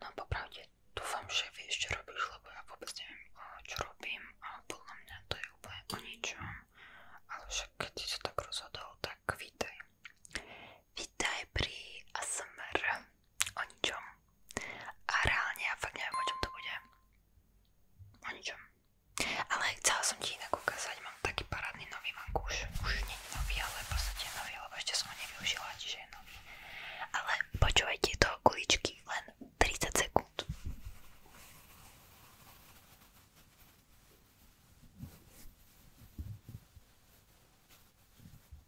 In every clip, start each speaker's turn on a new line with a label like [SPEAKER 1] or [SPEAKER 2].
[SPEAKER 1] No popravde, dúfam, že vieš, čo robíš, lebo ja vôbec neviem, čo robím a podľa mňa to je úplne o ničom. Ale však keď si sa tak rozhodol, tak vítaj. Vítaj pri ASMR o ničom. A reálne ja fakt neviem, o čom to bude. O ničom. Ale chcela som ti inak ukázať, mám taký parádny nový vankúš. Už nie je nový, ale v podstate je nový, lebo ešte som ho nevyužila, čiže je nový. Ale počúvaj tieto kuličky, len 30 sekúnd.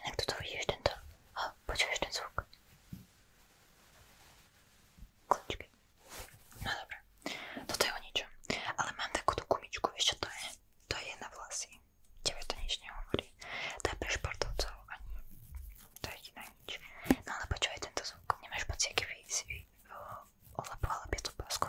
[SPEAKER 1] Inak toto vidíš tento... Oh, počuješ ten zvuk? Kľúčky. No dobré. Toto je o ničom. Ale mám takúto gumičku, vieš čo to je? To je na vlasy. Tebe to nič nehovorí. To je pre športovcov. Ani... To je jediná nič. No ale počúvaj tento zvuk. Nemáš pocit, keby si olapovala pietu pásku?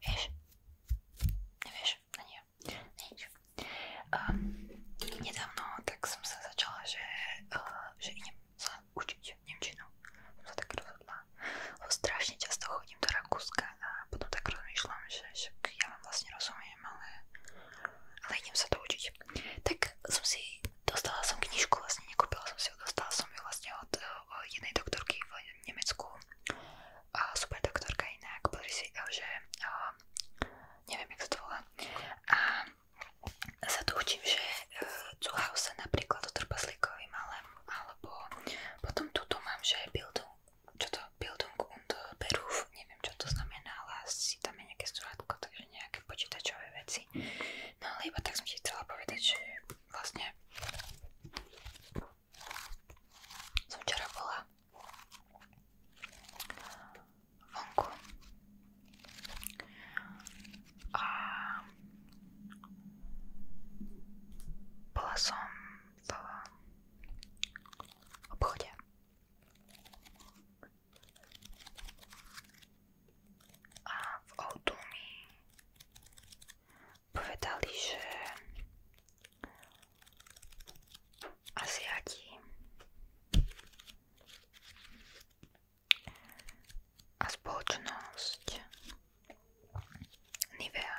[SPEAKER 1] Wiesz? Nie wiesz? No nie. nie idź. niedawno tak sam zaczęła, e, że, że nie wiem co uczyć Niemczyną. No tak rozhodla. Bo strasznie często chodzimy do Rakuska, bo potem tak rozmyślam, że, że ja mam was nie rozumiem, ale, ale idźmy się to uczyć. dosť. Tak som si, dostala som knižku, vlastne nekúpila som si ju, dostala som ju vlastne od uh, jednej doktorky v Nemecku. Uh, super doktorka inak, pozri si, eh, že uh, neviem, jak sa to volá. A sa tu učím, že uh, Zuhausen napríklad o trpaslíkovi malém, alebo potom tuto mám, že Bildung, čo to, Bildung und Beruf, neviem čo to znamená, ale si tam je nejaké strátko, takže nejaké počítačové veci. No ale iba tak som ti chcela povedať, že vlastne som včera bola vonku a bola som v a v autu mi povedali, že Aziati a spoločnosť Nivea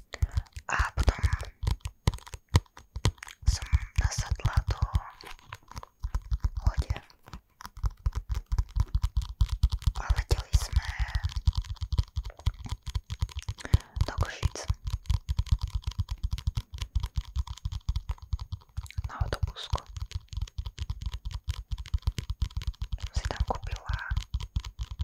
[SPEAKER 1] a potom som nasadla do lode a leteli sme do Košic na autobusku som si tam kúpila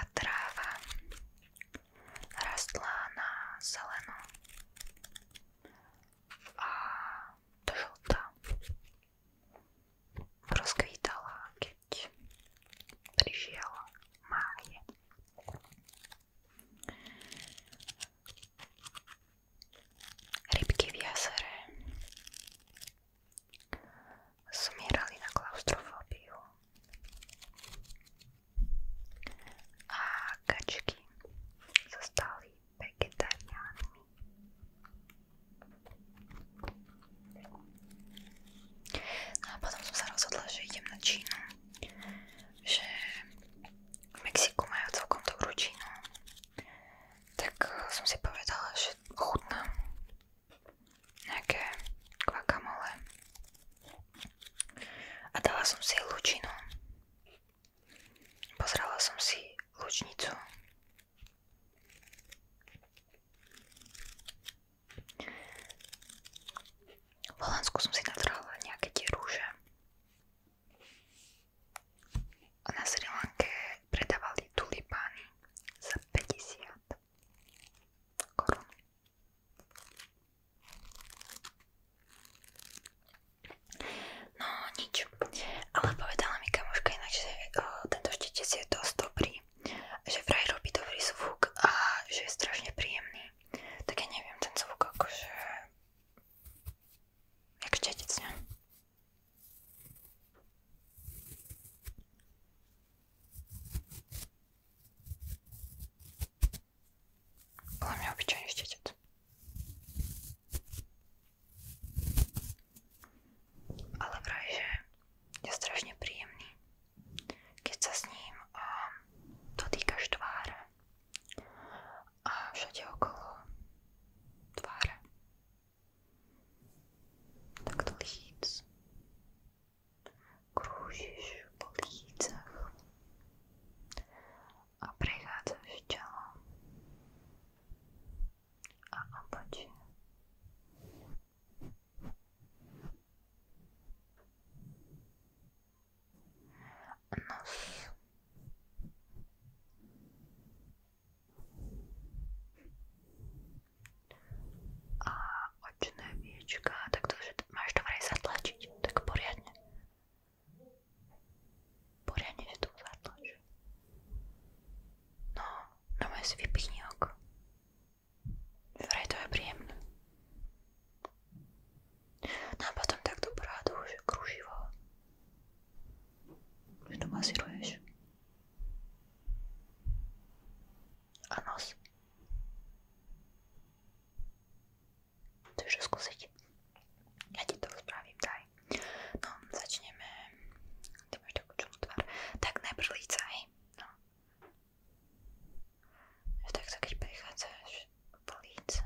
[SPEAKER 1] a tráva rastla na zeleno a do žlta rozkvítala, keď prišiel máj. Rybky v jazere zomierali na klaustrofóbiu a kačky sa stali vegetariánmi. No a potom som sa rozhodla, že idem na Čínu, že v Mexiku majú celkom dobrú Čínu tak eh, som si povedala, že chutná nejaké guacamole a dala som si lučinu. Pozrela som si lučnicu. V Holandsku som si natrhala nejaké tie rúže. Na Sri Lanke predávali tulipány za 50 korun. No nič, ale povedala mi kamoška inak, že o, eh, tento štítec je dosť dobrý, že vraj robí dobrý zvuk a že je strašne príjemný. Tak ja neviem, ten zvuk akože... Jak štítec, ne? Он меня вообще не встретит. Ale vraj, že je strašne príjemný, keď sa s ním a, um, dotýkaš tváre a všade okolo tváre tak do líc. Krúžiš po lícach a prechádzaš telom a obočím. nos a očné viečka, tak to, že máš to vraj zatlačiť, tak poriadne. Poriadne si to zatlač. No, no maj si vypichni oko. Vraj to je príjemné. No a potom takto prádu, že kruživo že to masíruješ. A nos. Chceš to skúsiť? Ja ti to spravím, daj. No, začneme. Ty máš takú čudnú tvár. Tak najprv líca, hej. No. Takto keď prichádzaš po líca.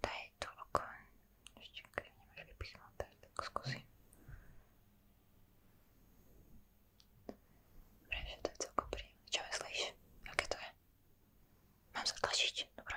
[SPEAKER 1] Daj toľko, ešte keď nemáš vypichnuté, tak skúsim. Dobre, že to je celkom príjemné. Čo myslíš? Aké to je? Mám sa tlačiť? Dobre.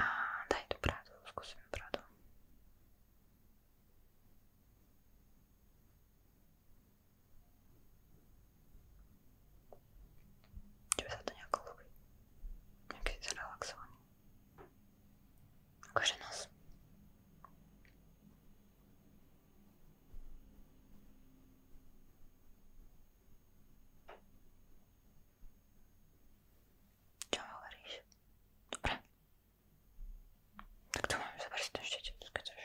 [SPEAKER 1] A daj tu pravdu, skúsim pravdu. Či by sa to nejako ľúbi? Nejaký zrelaxovaný. Akože nos. Čo mi hovoríš? Dobre. Tak to máme zabrať ten štetec, keď chceš.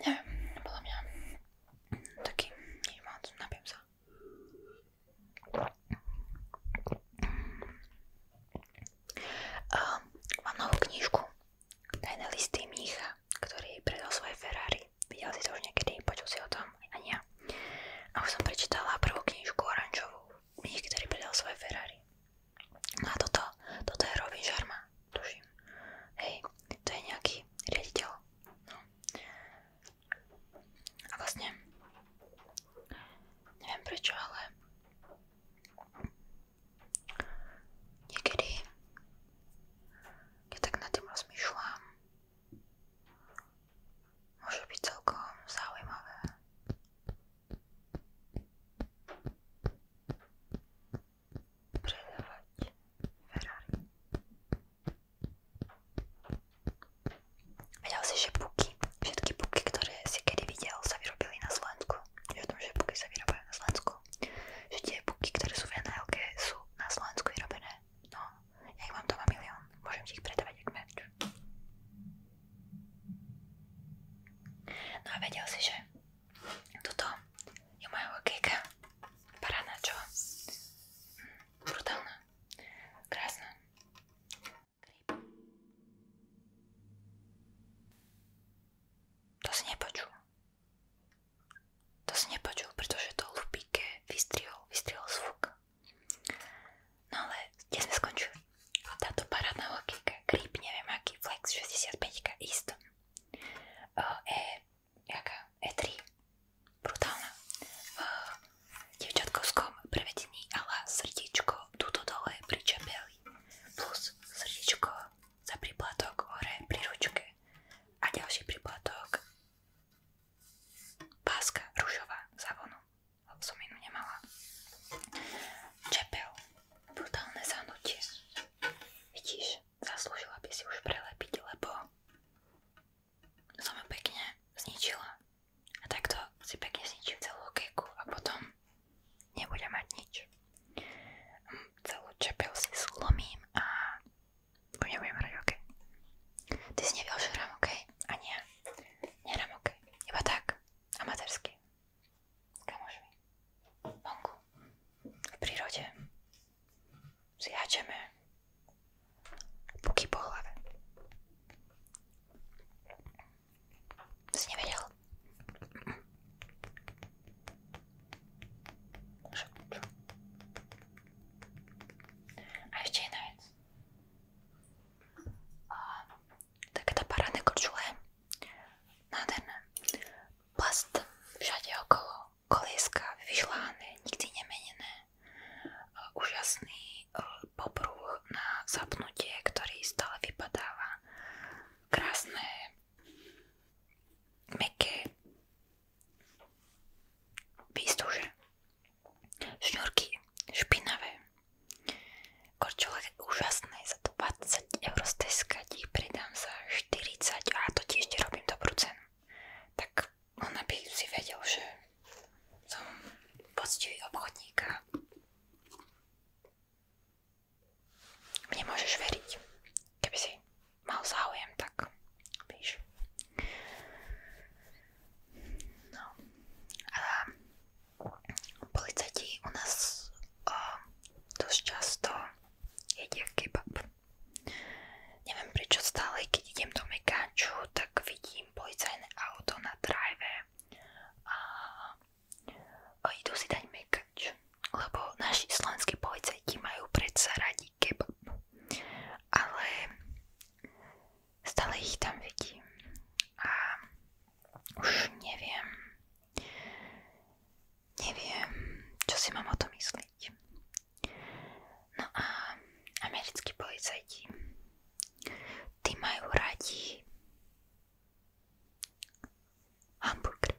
[SPEAKER 1] Neviem, podľa mňa taký nič moc, napijem sa. Uh, mám novú knižku Tajné listy mnícha ktorý predal svoje Ferrari. Videl si to už niekedy, počul si o tom? Ani ja. A už som prečítala prvú knižku oranžovú, kniž, ktorý predal svoje Ferrari. No a toto, toto je Robin Sharma, tuším. Hej, to je nejaký riaditeľ. No. A vlastne, neviem prečo, ale Niekedy, keď tak nad tým rozmýšľam, môže byť celkom zaujímavé. Predávať Ferrari. Vedel si, že puky, všetky puky, ktoré si kedy videl, sa vyrobili na Slovensku je v tom, že buky sa vyrábajú na Slovensku. Že tie buky, ktoré sú v nhl sú na Slovensku vyrobené. No, ja ich mám doma milión. Môžem ti ich predávať jak merch. No a vedel si, že toto je moja hokejka. Parána, čo? Mm, brutálna. Krásna. Krip. To si nepočul. To si nepočul, pretože to lupíke vystrihol, vystrihol zvuk. No ale, kde sme skončili? Táto parádna logika, creep, neviem aký, flex 65, ist. E, jaká, E3, brutálna. V dievčatkovskom prevedení ala srdiečko tuto dole pri čepeli plus srdiečko za príplatok hore pri ručke a ďalší príplatok páska ružová za vonu, som inú nemala. Čepel, brutálne zahnutie. Vidíš, zaslúžila by si už prelepiť, lebo som ju pekne zničila. A takto si pekne zničím celú keku a potom nebude mať nič. Celú čepel si zlomím a budem hrať OK. Ty si nevedel, že hrám OK? A nie. Nehrám OK. Iba tak. Amatérsky. Kamožmi. Vonku. V prírode. Si háčeme. Puky po hlave. Si nevedel? A ešte jedna vec. Takéto parádne korčule na ten plast všade okolo, kolieska vyšláhané, nikdy nemenené, úžasný popruh na zapnutie, ktorý stále vypadáva, krásne Mäkké výstuže, šňurky špinavé, korčule úžasné, za 20 eur steskať ich predám za 40 a to ti ešte robím dobrú cenu. Tak ona by si vedel, že som poctivý obchodník a mne môžeš veriť. Keby si mal záujem, tak víš. No. A policajti u nás o, dosť často jedia kebab. Neviem prečo stále, keď idem do Mekáču, tak vidím policajné auto na drive a O, idú si dať mekač, lebo naši slovenskí policajti majú predsa radi kebab, ale stále ich tam vidím a už neviem, neviem, čo si mám o to myslieť. No a americkí policajti, tí majú radi hamburger.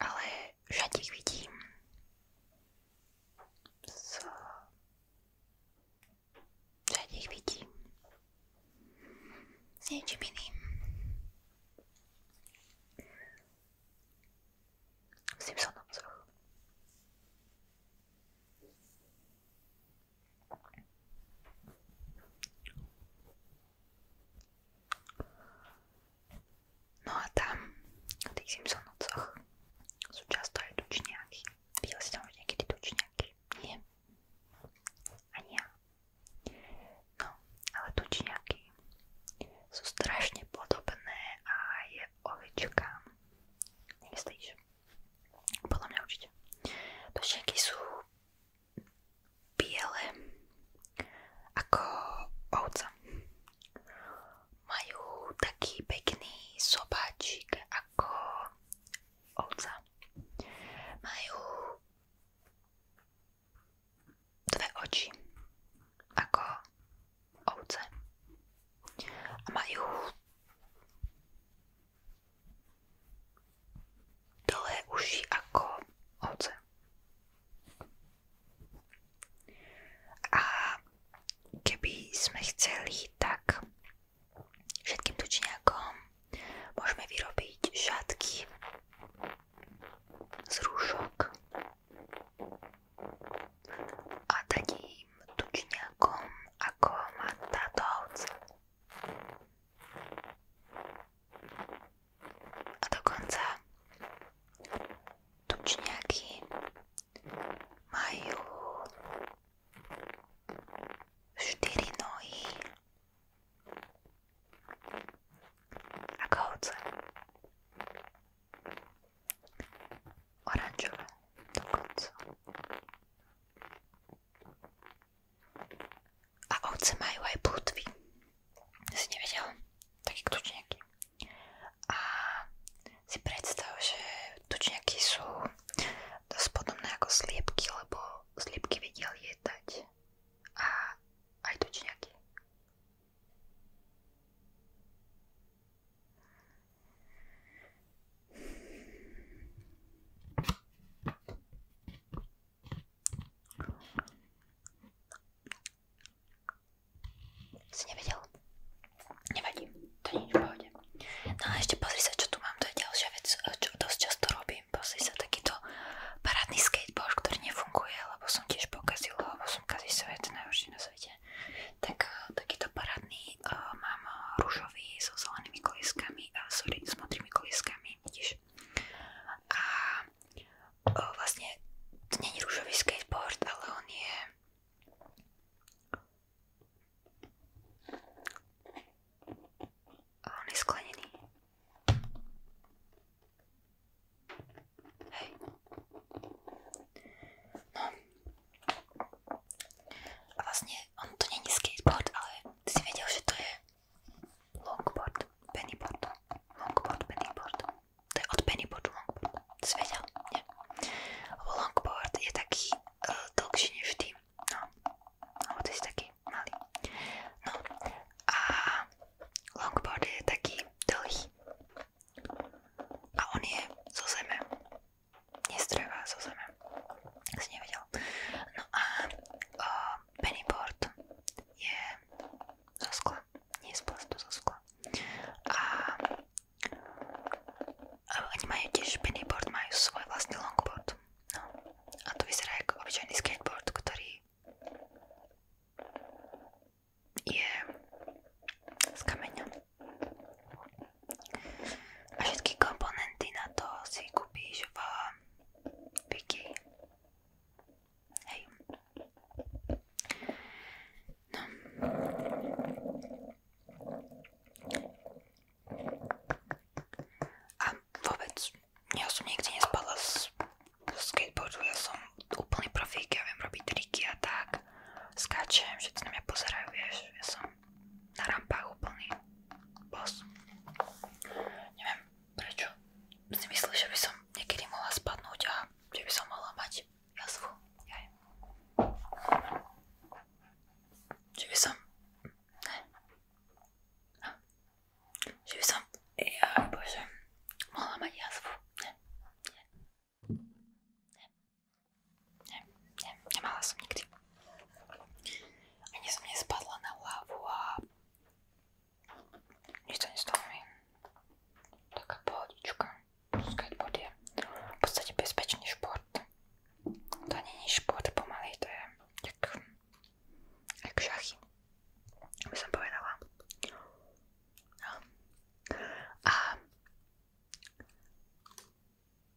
[SPEAKER 1] Ale žatík vidím z... Žatík vidím s niečím iným. V Simpsonovcoch. No a tam, na tých Simpsonovcoch, sú často aj tučniaky. Videl si tam už niekedy tučniaky? Nie. Ani ja. No, ale tučniaky sú strašne podobné aj ovečkám. Nemyslíš? Podľa mňa určite. Tučniaky sú biele ako ovca. Majú taký pekný sobáčik ako ovca. Majú dve oči ako ovce. A majú dlhé uši ako ovce. A keby sme chceli, tak všetkým tučniakom môžeme vyrobiť šatky z rúšok a dať im tučniakom ako má táto ovca. A dokonca tučňaky majú štyri nohy ako ovce. Oranžové dokonca. A ovce majú aj plutvy. Si nevedel? Taký tučňaky. A si predstav, že tučňaky sú dosť podobné ako sliepky, lebo sliepky vedia lietať. A aj tučňaky. Nevadí, to nie je v no tu mám, to je eh, často robím. Pozri sa, takýto parádny skateboard, ktorý nefunguje, lebo som tiež pokazila, lebo som kazí svet, na svete. Tak eh, takýto parádny eh, mám rúžový so zelenými kolískami a sorry, s modrými tými koliskami, vidíš. A o, e, vlastne to není růžový skateboard, ale on je... A on je sklenený. Hej. No. A vlastně on to není skateboard, ale Ty si vedel, že to je longboard, pennyboard, longboard, pennyboard. To je od pennyboardu longboard. Ty si vedel? Nie. Lebo longboard je taký uh, dlhší než ty. No. Lebo ty si taký malý. No. A longboard je taký dlhý. A on je zo zeme nestrevá zo zeme. Si nevedel. No a o, pennyboard je zo skla. Nie z plastu, zo skla. A, a oni majú tiež pennyboard, majú svoj vlastný longboard. No. A to vyzerá ako obyčajný skateboard, ktorý je z kameňa. A všetky komponenty na to si kúpíš v no. A vôbec, ja som nikdy nespadla z skateboardu, ja som úplný profík, ja viem a tak. Skáčem, všetci na mňa pozerajú, vieš, ja som na rampách úplný boss. Neviem prečo si myslí, že by som niekedy mohla spadnúť a že by som mohla mať jazvu. Jaj. Že by som... Ne. No. Že by som... Jaj bože. Mohla mať jazvu. Ne. Ne. Ne. Nie, nie, nemala som nikdy. Ani som nespadla na hlavu a nič to nestalo mi. Taká pohodička. Skateboard je v podstate bezpečný šport. To nie je šport pomaly, to je jak, jak šachy. By som povedala. No. A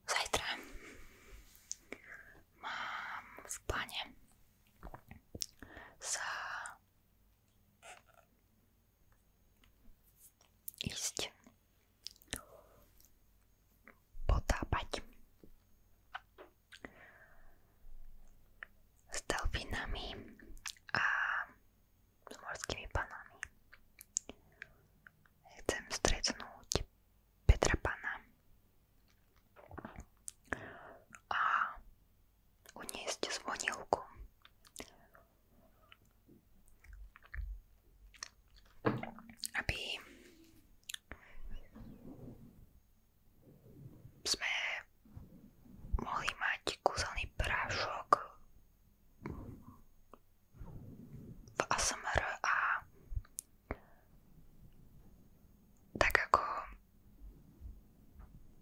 [SPEAKER 1] Zajtra mám v pláne sa ísť potápať s delfínami a s morskými panami. Chcem stretnúť Petra Pana. A uniesť zvonilku. Aby sme mohli mať kúzelný prášok v ASMR a tak ako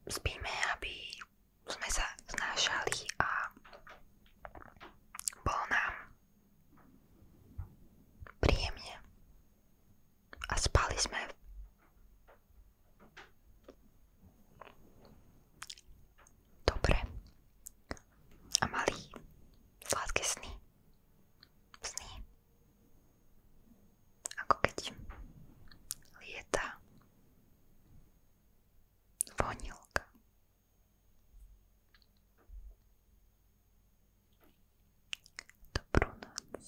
[SPEAKER 1] spíme, aby sme sa znášali a bolo nám príjemne a spali sme dobre a malý. Sladké sny. Sny. Ako keď lieta vonilka. Dobrú noc.